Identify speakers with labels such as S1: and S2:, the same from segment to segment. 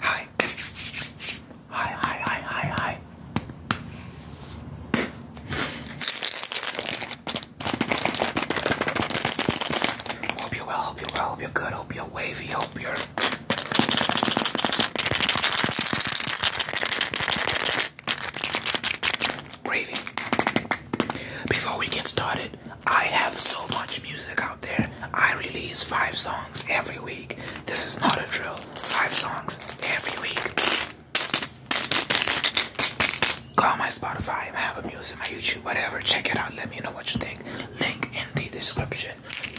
S1: Hi. Hi, hi, hi, hi, hi. Hope you well, hope you well, hope you're good, hope you're wavy, hope you're. Gravy. Before we get started, I have so much music out there. I release five songs every week. This is not a drill. Five songs every week. Go on my Spotify, my Apple Music, my YouTube, whatever. Check it out. Let me know what you think. Link in the description.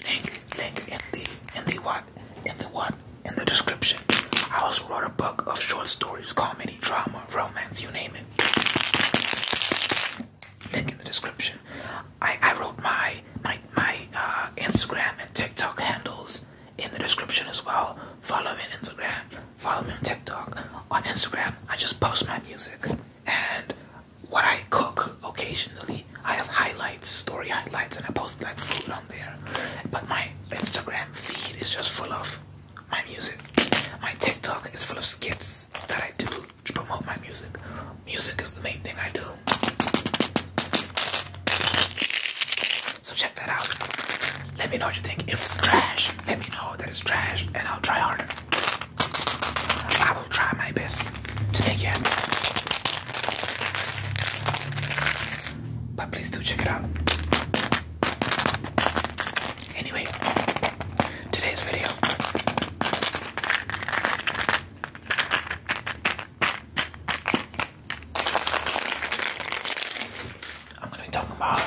S1: Link, link in the in the what? In the what? In the description. I also wrote a book of short stories, comedy, drama, romance, you name it link in the description. I, wrote my my my uh, Instagram and TikTok handles in the description as well. Follow me on Instagram. Follow me on TikTok. On Instagram, I just post my music and what I cook occasionally. I have highlights, story highlights, and I post like food on there. But my Instagram feed is just full of my music. My TikTok is full of skits that I do to promote my music. Music is the main thing I do. So check that out. Let me know what you think. If it's trash, let me know that it's trash and I'll try harder. I will try my best to make it But please do check it out. Anyway, today's video. I'm gonna be talking about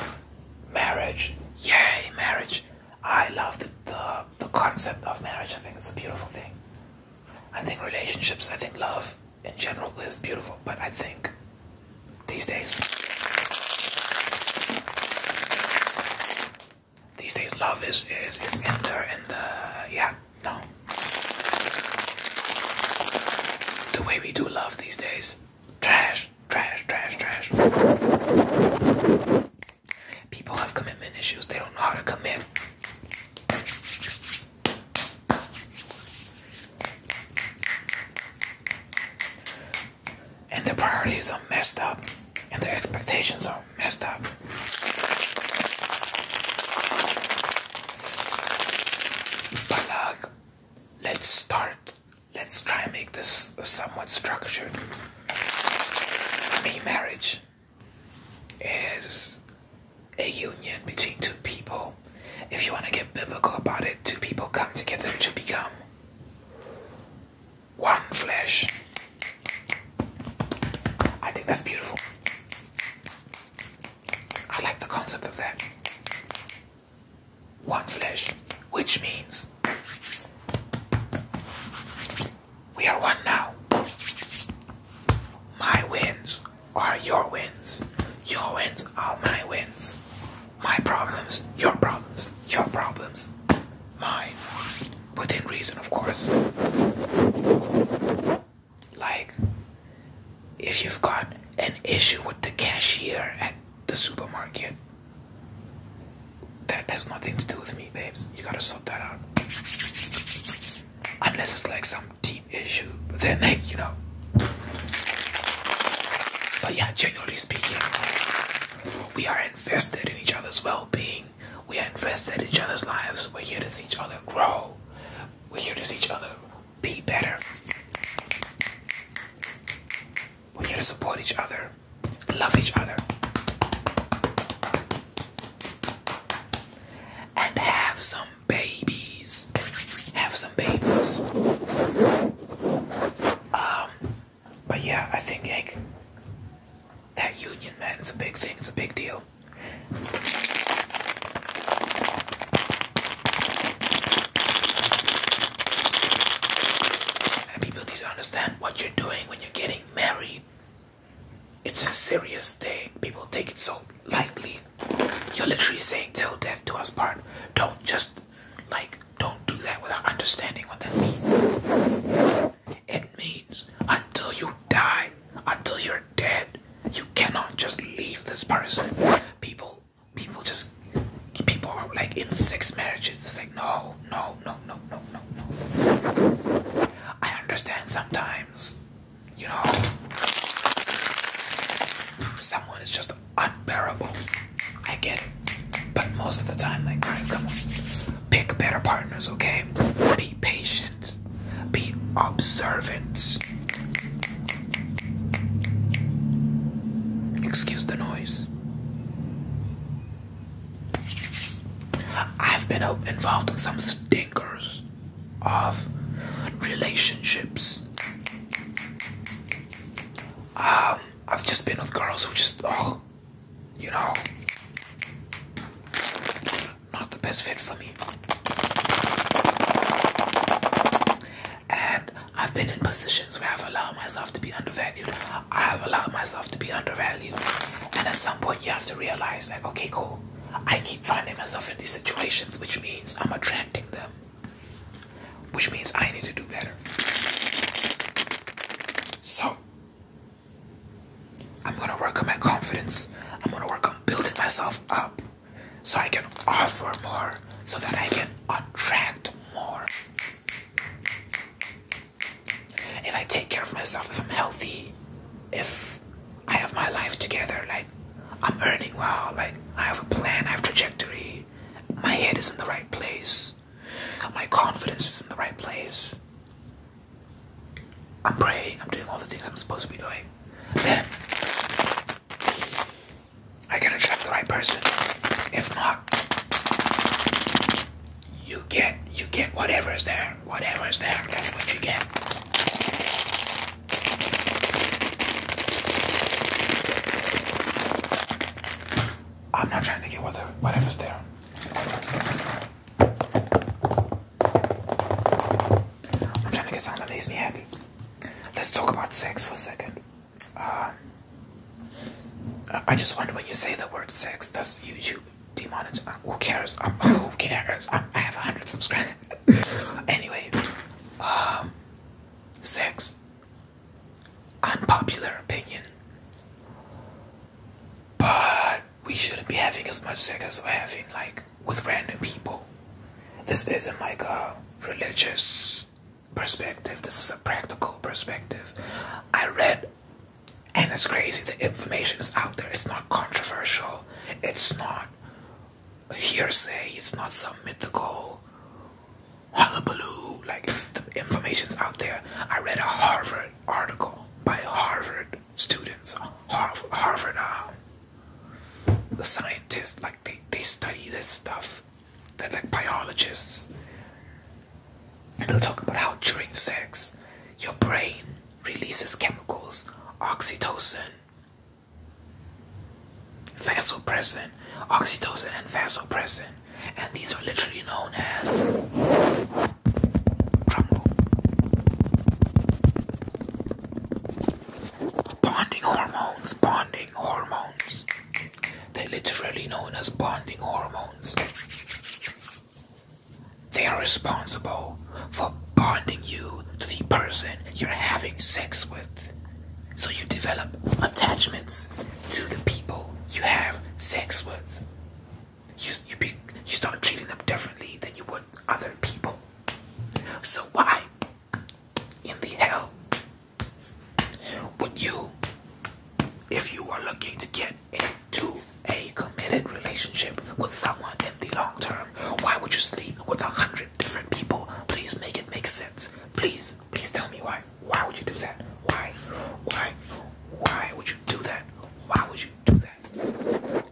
S1: marriage. Yay, marriage! I love the, the the concept of marriage. I think it's a beautiful thing. I think relationships, I think love in general is beautiful, but I think these days these days, love is is is in there, in the yeah, no. The way we do love these days, trash, trash, trash, trash. People have commitment issues. They don't know how to commit and their priorities are messed up and their expectations are messed up. But uh, let's start. Let's try and make this somewhat structured. For marriage is a union between two people. If you want to get biblical about it, two people come together to become one flesh. I think that's beautiful. I like the concept of that. One flesh, which means we are one now. My wins are your wins. Your wins are my wins. My problems, your problems, your problems, mine within reason, of course. Like, if you've got an issue with the cashier at the supermarket, that has nothing to do with me, babes. You gotta sort that out. Unless it's like some deep issue, then, like, you know. But yeah, generally speaking, we are invested in each other's well being. We are invested in each other's lives. We're here to see each other grow. We're here to see each other be better. We're here to support each other, love each other, and have some babies. Have some babies. Um, but yeah, I think like that union, man, is a big thing. It's a big deal. And people need to understand what you're doing when you're getting married. It's a serious thing. People take it so lightly. You're literally saying till death do us part. Don't just like don't do that without understanding what that means. It means until you die, until you're dead, you cannot just leave this person. People, people just, people are like in six marriages. It's like, no, no, no, no, no, no, no. I understand sometimes, you know, someone is just unbearable. I get it. But most of the time, like, come on. Pick better partners, okay? Be patient. Be observant. Excuse the noise. I've been involved in some stinkers of relationships. Um, I've just been with girls who just, oh, you know, not the best fit for me. And I've been in positions where I've allowed myself to be undervalued. I have allowed myself to be undervalued. And at some point, you have to realize, that. okay, cool. I keep finding myself in these situations, which means I'm attracting them, which means I need to do better. So, I'm gonna work on my confidence. I'm gonna work on building myself up so I can offer more, so that I can attract more. If I take care of myself, if I'm healthy, if I have my life together, like I'm earning well, like I have a plan, I have trajectory, my head is in the right place. My confidence is in the right place. I'm praying, I'm doing all the things I'm supposed to be doing. Then I gotta attract the right person. If not, you get you get whatever is there. Whatever is there, that's what you get. I'm not trying to get whatever whatever's there. I'm trying to get something makes me happy. Let's talk about sex for a second. Uh, I just wonder when you say the word sex, does YouTube demonetize? Uh, who cares? who cares? I'm, I have 100 subscribers. anyway, um, sex unpopular opinion. But we shouldn't be having as much sex as we're having, like, with random people. This isn't like a religious perspective, this is a practical perspective. I read, and it's crazy, the information is out there, it's not controversial, it's not hearsay, it's not some mythical Hallelujah! Like the information's out there. I read a Harvard article by Harvard students. Harvard, Harvard um, the scientists, like they, they study this stuff. They're like biologists. they'll talk about how during sex, your brain releases chemicals, oxytocin, vasopressin, oxytocin and vasopressin and these are literally known as bonding hormones. Bonding hormones. They're literally known as bonding hormones. They are responsible for bonding you to the person you're having sex with. So you develop attachments to the people you have sex with. You, you, you start treating them differently than you would other people. So why in the hell would you, if you are looking to get into a committed relationship with someone in the long term, why would you sleep with a hundred different people? Please make it make sense. Please, please tell me why. Why? would you do that? Why? Why? Why would you do that? Why would you do that?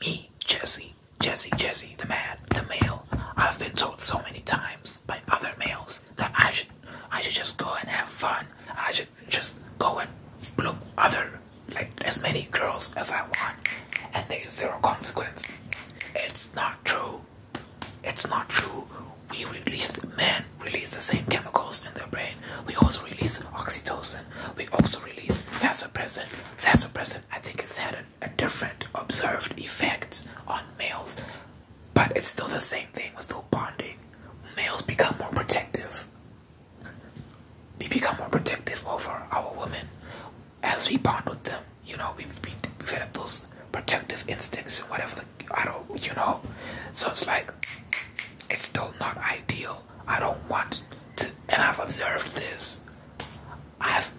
S1: Me, Jesse, Jesse, Jesse, the man, the male. I've been told so many times by other males that I should, I should just go and have fun. I should just go and blow other, like as many girls as I want, and there's zero consequence. It's not true. It's not true. We released men release the same chemicals in their brain. We also release oxytocin. We also release vasopressin. Vasopressin, I think, has had a, different observed effects on males, but it's still the same thing. We're still bonding. Males become more protective. We become more protective over our women as we bond with them. You know, we, we, we develop those protective instincts and whatever I don't you know so it's like it's still not ideal. I don't want to and I've observed this. I've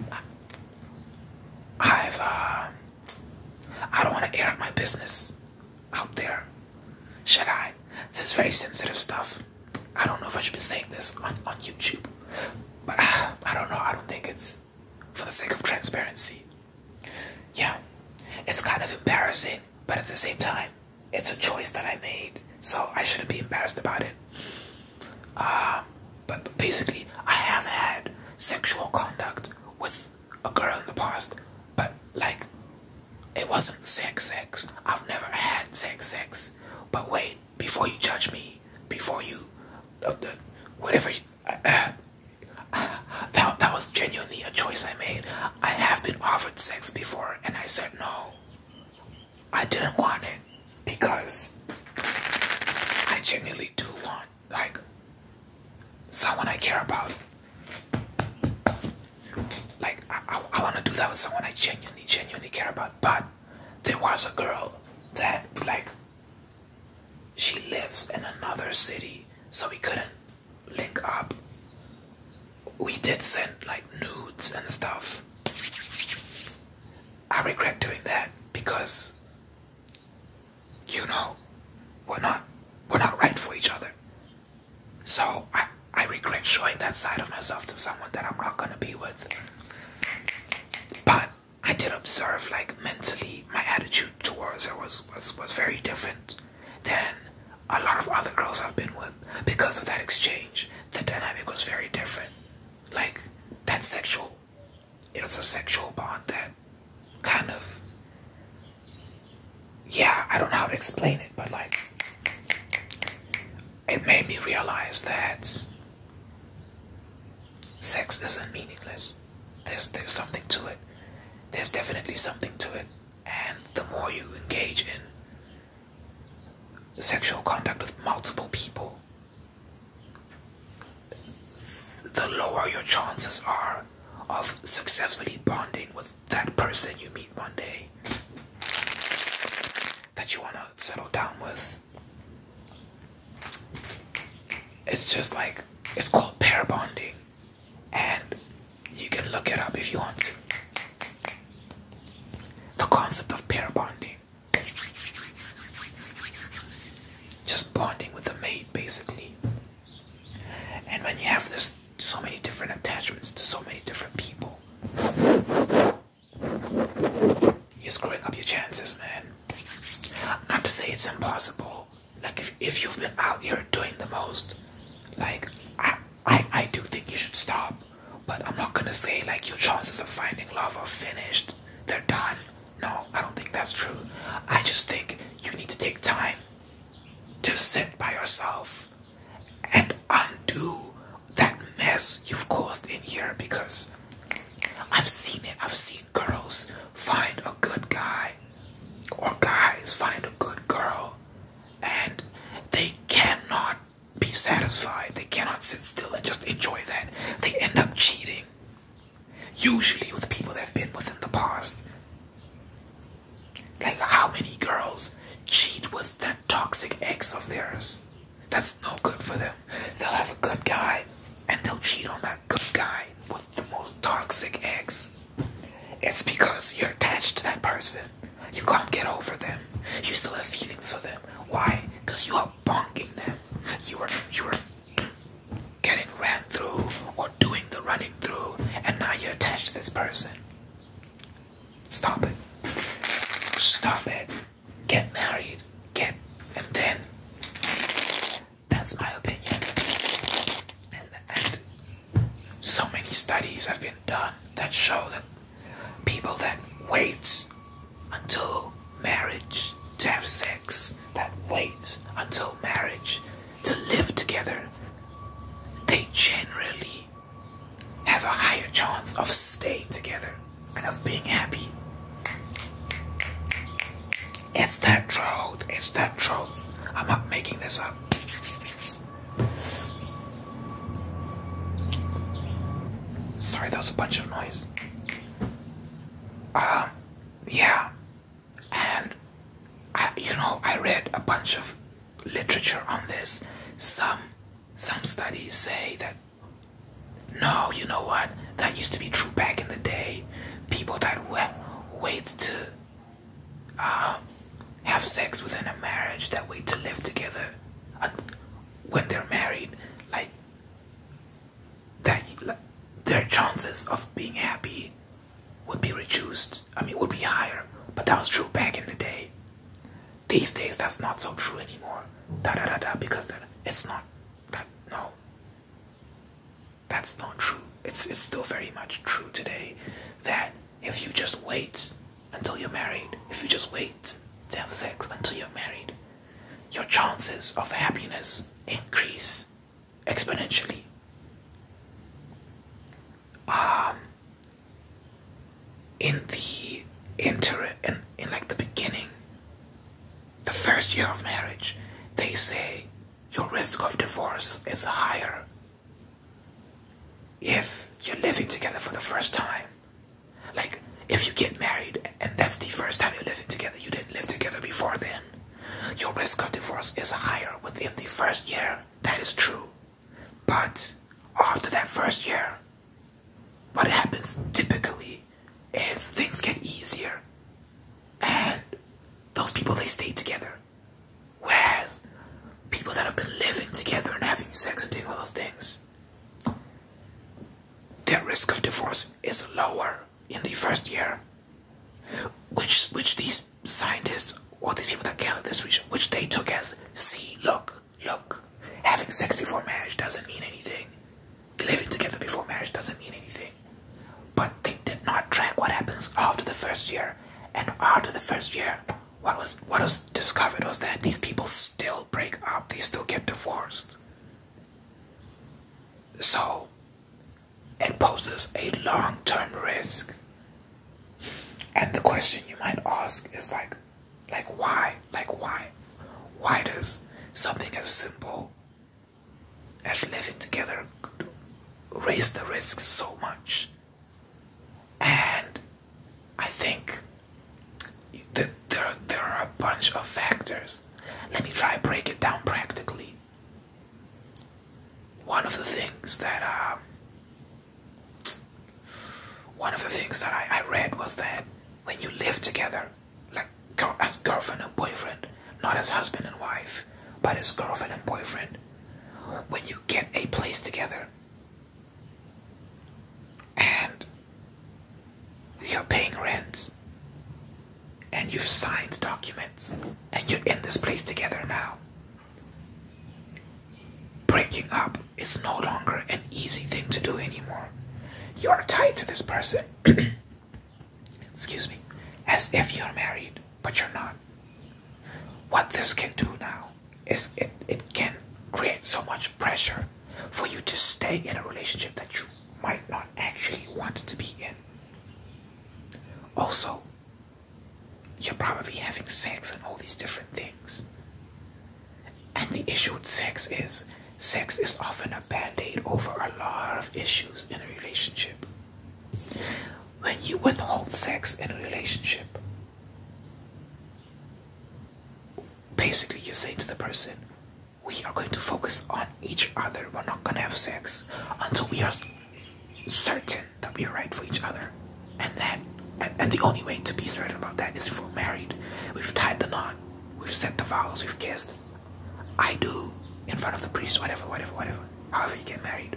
S1: I've uh, I don't want to air out my business out there. Should I? This is very sensitive stuff. I don't know if I should be saying this on, on YouTube. But I don't know. I don't think it's for the sake of transparency. Yeah, it's kind of embarrassing, but at the same time, it's a choice that I made, so I shouldn't be embarrassed about it. Uh, but, basically, I have had sexual conduct with a girl in the past, but like, it wasn't sex, sex. I've never had sex, sex. But wait, before you judge me, before you, uh, uh, whatever that, that was genuinely a choice I made. I have been offered sex before and I said no. I didn't want it because I genuinely do want like someone I care about. Like I, I want to do that with someone I genuinely, genuinely care about. But there was a girl that like she lives in another city, so we couldn't link up. We did send like nudes and stuff. I regret doing that because you know we're not we're not right for each other. So I I regret showing that side of myself to someone that I'm not gonna be with. But I did observe like mentally my attitude towards her was was, was, very different than a lot of other girls I've been with because of that exchange. The dynamic was very different. Like, that sexual, it was a sexual bond that kind of, yeah, I don't know how to explain it, but like, it made me realize that sex isn't meaningless. There's there's something to it. There's definitely something to it. And the more you engage in sexual contact with multiple people, the lower your chances are of successfully bonding with that person you meet one day that you want to settle down with it's just like it's called pair bonding, and you can look it up if you want to. The concept of pair bonding just bonding with a mate basically, and when you have this so many different attachments to so many different people. You're screwing up your chances, man. Not to say it's impossible, like if, if you've been out here doing the most like I, I i do think you should stop but i'm not gonna say like your chances of finding love are finished they're done no i don't think that's true i just think you need to take time to sit by yourself and undo that mess you've caused in here because i've seen it i've seen girls find a good guy or guys find a good girl and they cannot be satisfied. They cannot sit still and just enjoy that. They end up cheating. Usually with people that have been with in the past. Like how many girls cheat with that toxic ex of theirs? That's no good for them. They'll have a good guy and they'll cheat on that good guy with the most toxic ex, it's because you're attached to that person. You can't get over them. You still have feelings for them. Why? Because you are bonking them. You were you were getting ran through or doing the running through, and now you're attached to this person. Stop it. Stop it. Get married. Get and then that's my opinion. And, and so many studies have been done that show that people that wait until marriage to have sex, that wait until marriage to live together, they generally have a higher chance of staying together and of being happy. It's that truth. It's that truth. I'm not making this up. Sorry, there was a bunch of noise. Um, yeah, and I, you know, I read a bunch of literature on this. Some, some studies say that. No, you know what? That used to be true back in the day. People that were wait to um, have sex within a marriage, that wait to live together uh, when they're married, like that, their chances of being happy would be reduced. I mean, would be higher. But that was true back in the day. These days, that's not so true anymore. Da da da da, because that it's not. no that's not true. It's it's still very much true today that if you just wait until you're married, if you just wait to have sex until you're married, your chances of happiness increase exponentially. Um in the inter in, in like the beginning the first year of marriage they say your risk of divorce is higher. If you're living together for the first time, like if you get married and that's the first time you're living together, you didn't live together before then, your risk of divorce is higher within the first year. That is true. But after that first year, what happens typically is things get easier and those people they stay together. Whereas people that have been living together and having sex and doing all those things, their risk of divorce is lower in the first year. Which which these scientists or these people that gathered this research, which they took as see, look, look, having sex before marriage doesn't mean anything living together before marriage doesn't mean anything. But they did not track what happens after the first year. And after the first year, what was what was discovered was that these people still break up, they still get divorced. So it poses a long-term risk. And the question you might ask is like like why? Like why? Why does something as simple as living together raised the risk so much. And I think that there, there are a bunch of factors. Let me try break it down practically. One of the things that um, one of the things that I, I read was that when you live together, like as girlfriend and boyfriend, not as husband and wife, but as girlfriend and boyfriend. When you get a place together and you're paying rent and you've signed documents and you're in this place together now, breaking up is no longer an easy thing to do anymore. You are tied to this person. excuse me, as if you're married, but you're not. What this can do now is it, it can create so much pressure for you to stay in a relationship that you might not actually want to be in. Also, you're probably having sex and all these different things. And the issue with sex is sex is often a band aid over a lot of issues in a relationship. When you withhold sex in a relationship, basically you're saying to the person, we are going to focus on each other. We're not going to have sex until we are certain that we are right for each other. And that and, the only way to be certain about that is if we're married. We've tied the knot. We've said the vows. We've kissed. I do in front of the priest, whatever, whatever, whatever, however you get married.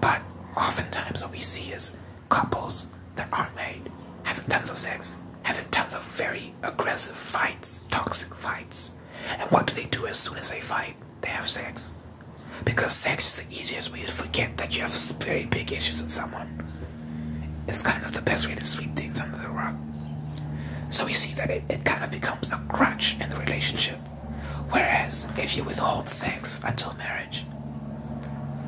S1: But oftentimes, what we see is couples that aren't married having tons of sex, having tons of very aggressive fights, toxic fights. And what do they do as soon as they fight? They have sex. Because sex is the easiest way to forget that you have very big issues with someone. It's kind of the best way to sweep things under the rug. So we see that it, kind of becomes a crutch in the relationship. Whereas if you withhold sex until marriage,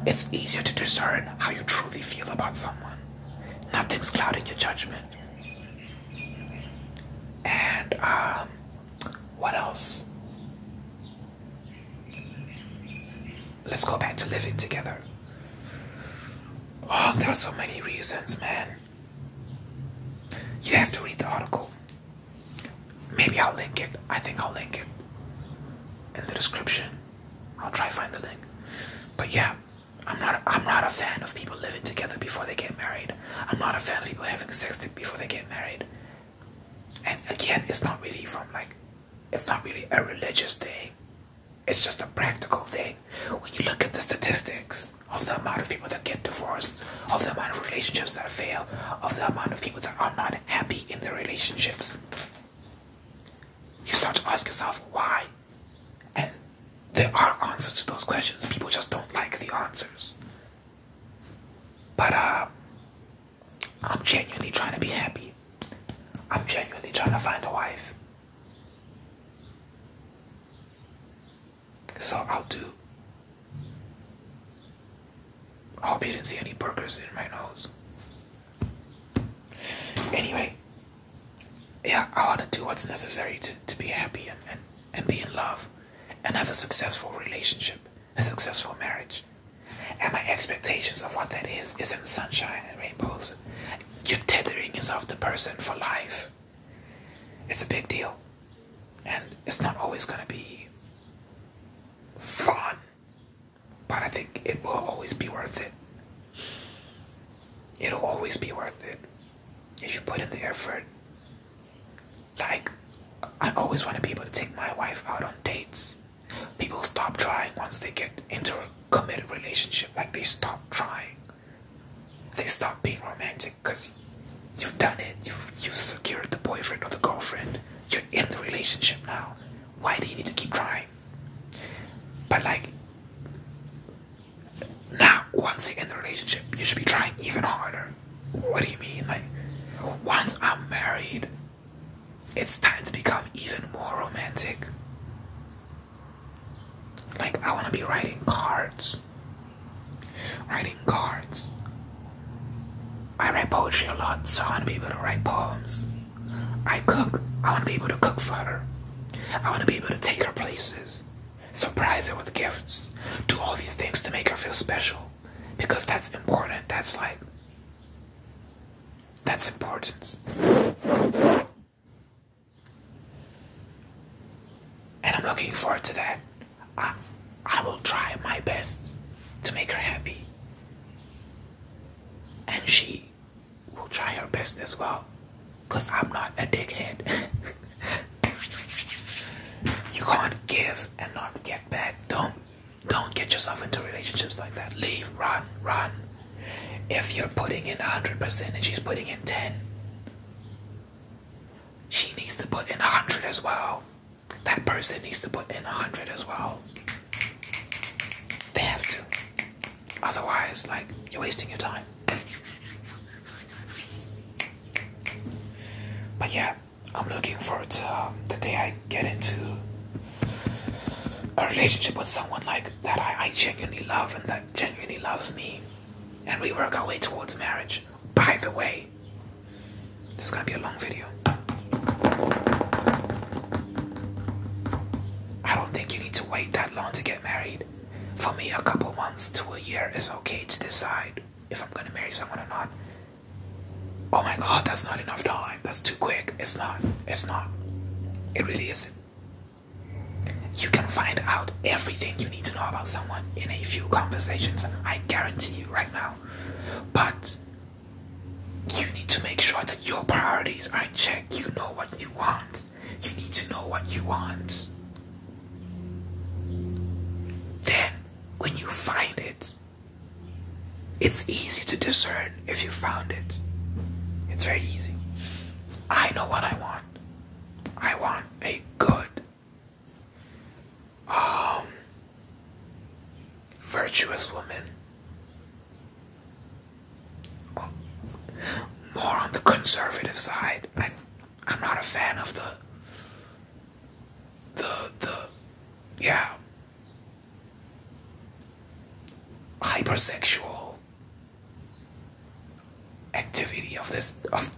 S1: it's easier to discern how you truly feel about someone. Nothing's clouding your judgment. And um, what else? Let's go back to living together. Oh, there are so many reasons, man. You have to read the article. Maybe I'll link it. I think I'll link it in the description. I'll try find the link. But yeah, I'm not I'm not a fan of people living together before they get married. I'm not a fan of people having sex before they get married. And again, it's not really from like it's not really a religious thing. It's just a practical thing. When you look at the statistics of the amount of people that get divorced, of the amount of relationships that fail, of the amount of people that are not happy in their relationships, you start to ask yourself why. And there are answers to those questions. People just don't like the answers. But uh, I'm genuinely trying to be happy. I'm genuinely trying to find a wife so I'll do. I hope you didn't see any burgers in my nose. Anyway, yeah, I want to do what's necessary to, to be happy and, and, and be in love and have a successful relationship, a successful marriage. And my expectations of what that is isn't sunshine and rainbows you're tethering yourself to person for life. It's a big deal. And it's not always gonna be fun. But I think it will always be worth it. It'll always be worth it. If you put in the effort. Like I always want to be able to take my wife out on dates. People stop trying once they get into committed relationship. Like they stop trying. They stop being romantic because you've done it. You've, you secured the boyfriend or the girlfriend. You're in the relationship now. Why do you need to keep trying? But like, now once you're in the relationship, you should be trying even harder. What do you mean? Like, once I'm married, it's time to become even more romantic. Like, I want to be writing cards. Writing cards. I write poetry a lot, so I want to be able to write poems. I cook. I want to be able to cook for her. I want to be able to take her places, surprise her with gifts, do all these things to make her feel special. Because that's important. That's like, that's important. And I'm looking forward to that. I, will try my best to make her happy. And she will try her best as well. Because I'm not a dickhead. you can't give and not get back. Don't don't get yourself into relationships like that. Leave, run, run. If you're putting in 100% and she's putting in 10, she needs to put in 100 as well. That person needs to put in 100 as well. They have to. Otherwise, like, you're wasting your time. But yeah, I'm looking forward to um, the day I get into a relationship with someone like that I, genuinely love and that genuinely loves me, and we work our way towards marriage. By the way, this is gonna be a long video. I don't think you need to wait that long to get married. For me, a couple months to a year is okay to decide if I'm gonna marry someone or not. Oh my god, that's not enough time. That's too quick. It's not. It's not. It really isn't. You can find out everything you need to know about someone in a few conversations, I guarantee you right now. But you need to make sure that your priorities are in check. You know what you want. You need to know what you want. Then, when you find it, it's easy to discern if you found it. It's very easy. I know what I want. I want a good, um, virtuous woman. more on the conservative side. I, I'm not a fan of the, the, the, yeah, hypersexual activity of this of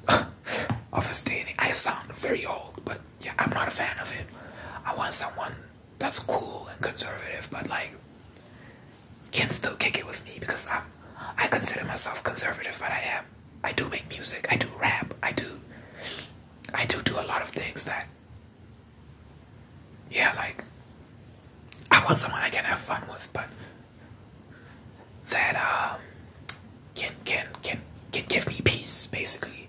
S1: of his dating. I sound very old, but yeah, I'm not a fan of it. I want someone that's cool and conservative, but like can still kick it with me because I'm I consider myself conservative, but I am. I do make music. I do rap. I do. I do do a lot of things that. Yeah, like I want someone I can have fun with, but that um, can can can can give me peace basically.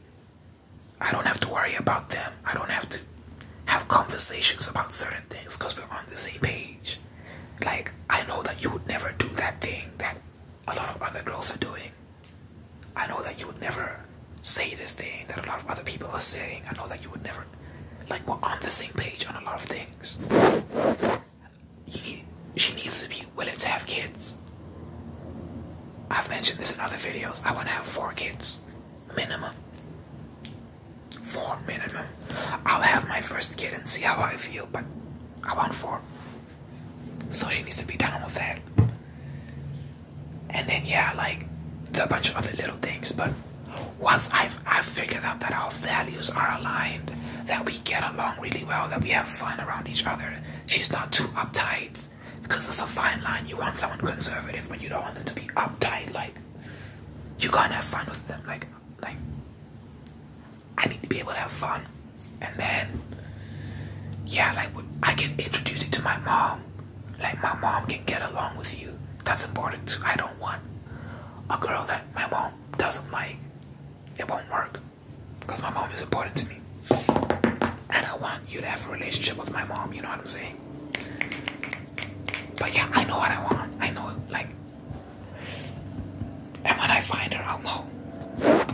S1: I don't have to worry about them. I don't have to have conversations about certain things because we're on the same page. Like I know that you would never do that thing that a lot of other girls are doing. I know that you would never say this thing that a lot of other people are saying. I know that you would never like we're on the same page on a lot of things. she needs to be willing to have kids. I've mentioned this in other videos. I want to have four kids, minimum. Four minimum. I'll have my first kid and see how I feel, but I want four. So she needs to be down with that. And then yeah, like the bunch of other little things, but once I've, I've figured out that our values are aligned, that we get along really well, that we have fun around each other, she's not too uptight because it's a fine line. You want someone conservative, but you don't want them to be uptight. Like, you can have fun with them. Like, like I need to be able to have fun. And then, yeah, like I can introduce it to my mom. Like my mom can get along with you. That's important too. I don't want a girl that my mom doesn't like. It won't work. Because my mom is important to me. And I want you to have a relationship with my mom, you know what I'm saying? But yeah, I know what I want. I know it like and when I find her I'll know.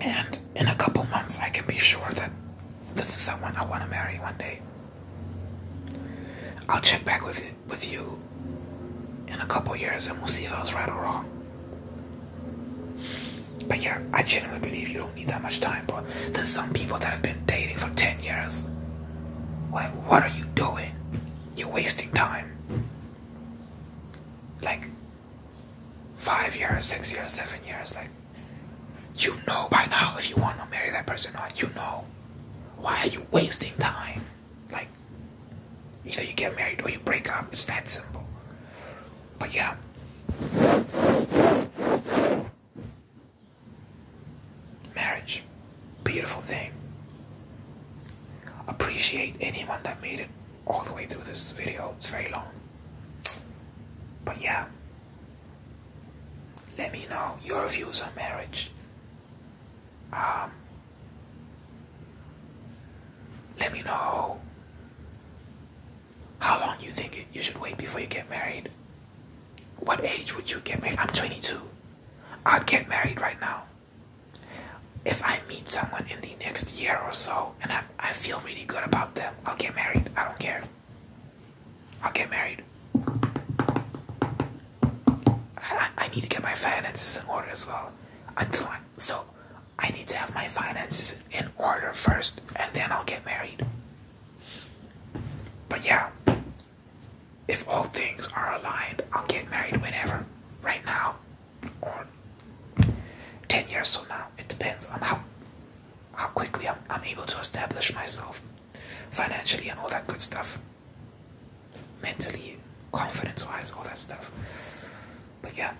S1: And in a couple months I can be sure that this is someone I want to marry one day. I'll check back with it with you in a couple years and we'll see if I was right or wrong. But yeah, I genuinely believe you don't need that much time, bro. There's some people that have been dating for 10 years. Like, what are you doing? You're wasting time. Like, five years, six years, seven years. Like, you know by now if you want to marry that person or not. You know. Why are you wasting time? Like, either you get married or you break up. It's that simple. But yeah. Marriage. Beautiful thing. Appreciate anyone that made it all the way through this video. It's very long. But yeah. Let me know your views on marriage. Um, let me know how long you think you should wait before you get married. What age would you get married? I'm 22. I'd get married right now. If I meet someone in the next year or so and I, I feel really good about them, I'll get married. I don't care. I'll get married. I, I need to get my finances in order as well. Until I, so, I need to have my finances in order first, and then I'll get married. But yeah, if all things are aligned, I'll get married whenever, right now, or ten years from now. It depends on how how quickly I'm, I'm able to establish myself financially and all that good stuff. Mentally, confidence wise, all that stuff. But yeah,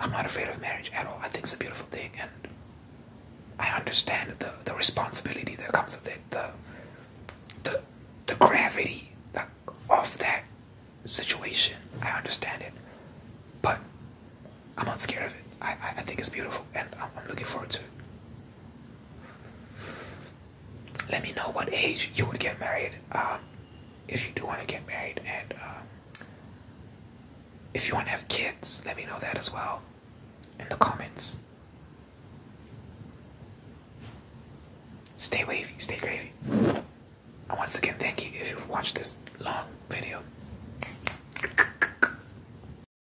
S1: I'm not afraid of marriage at all. I think it's a beautiful thing and I understand the, the responsibility that comes with it, the the the gravity of that situation. I understand it. But I'm not scared of it. I, I, think it's beautiful and I'm looking forward to it. Let me know what age you would get married um, if you do want to get married, and um, if you want to have kids, let me know that as well in the comments. Stay wavy, stay gravy. And once again, thank you if you've watched this long video.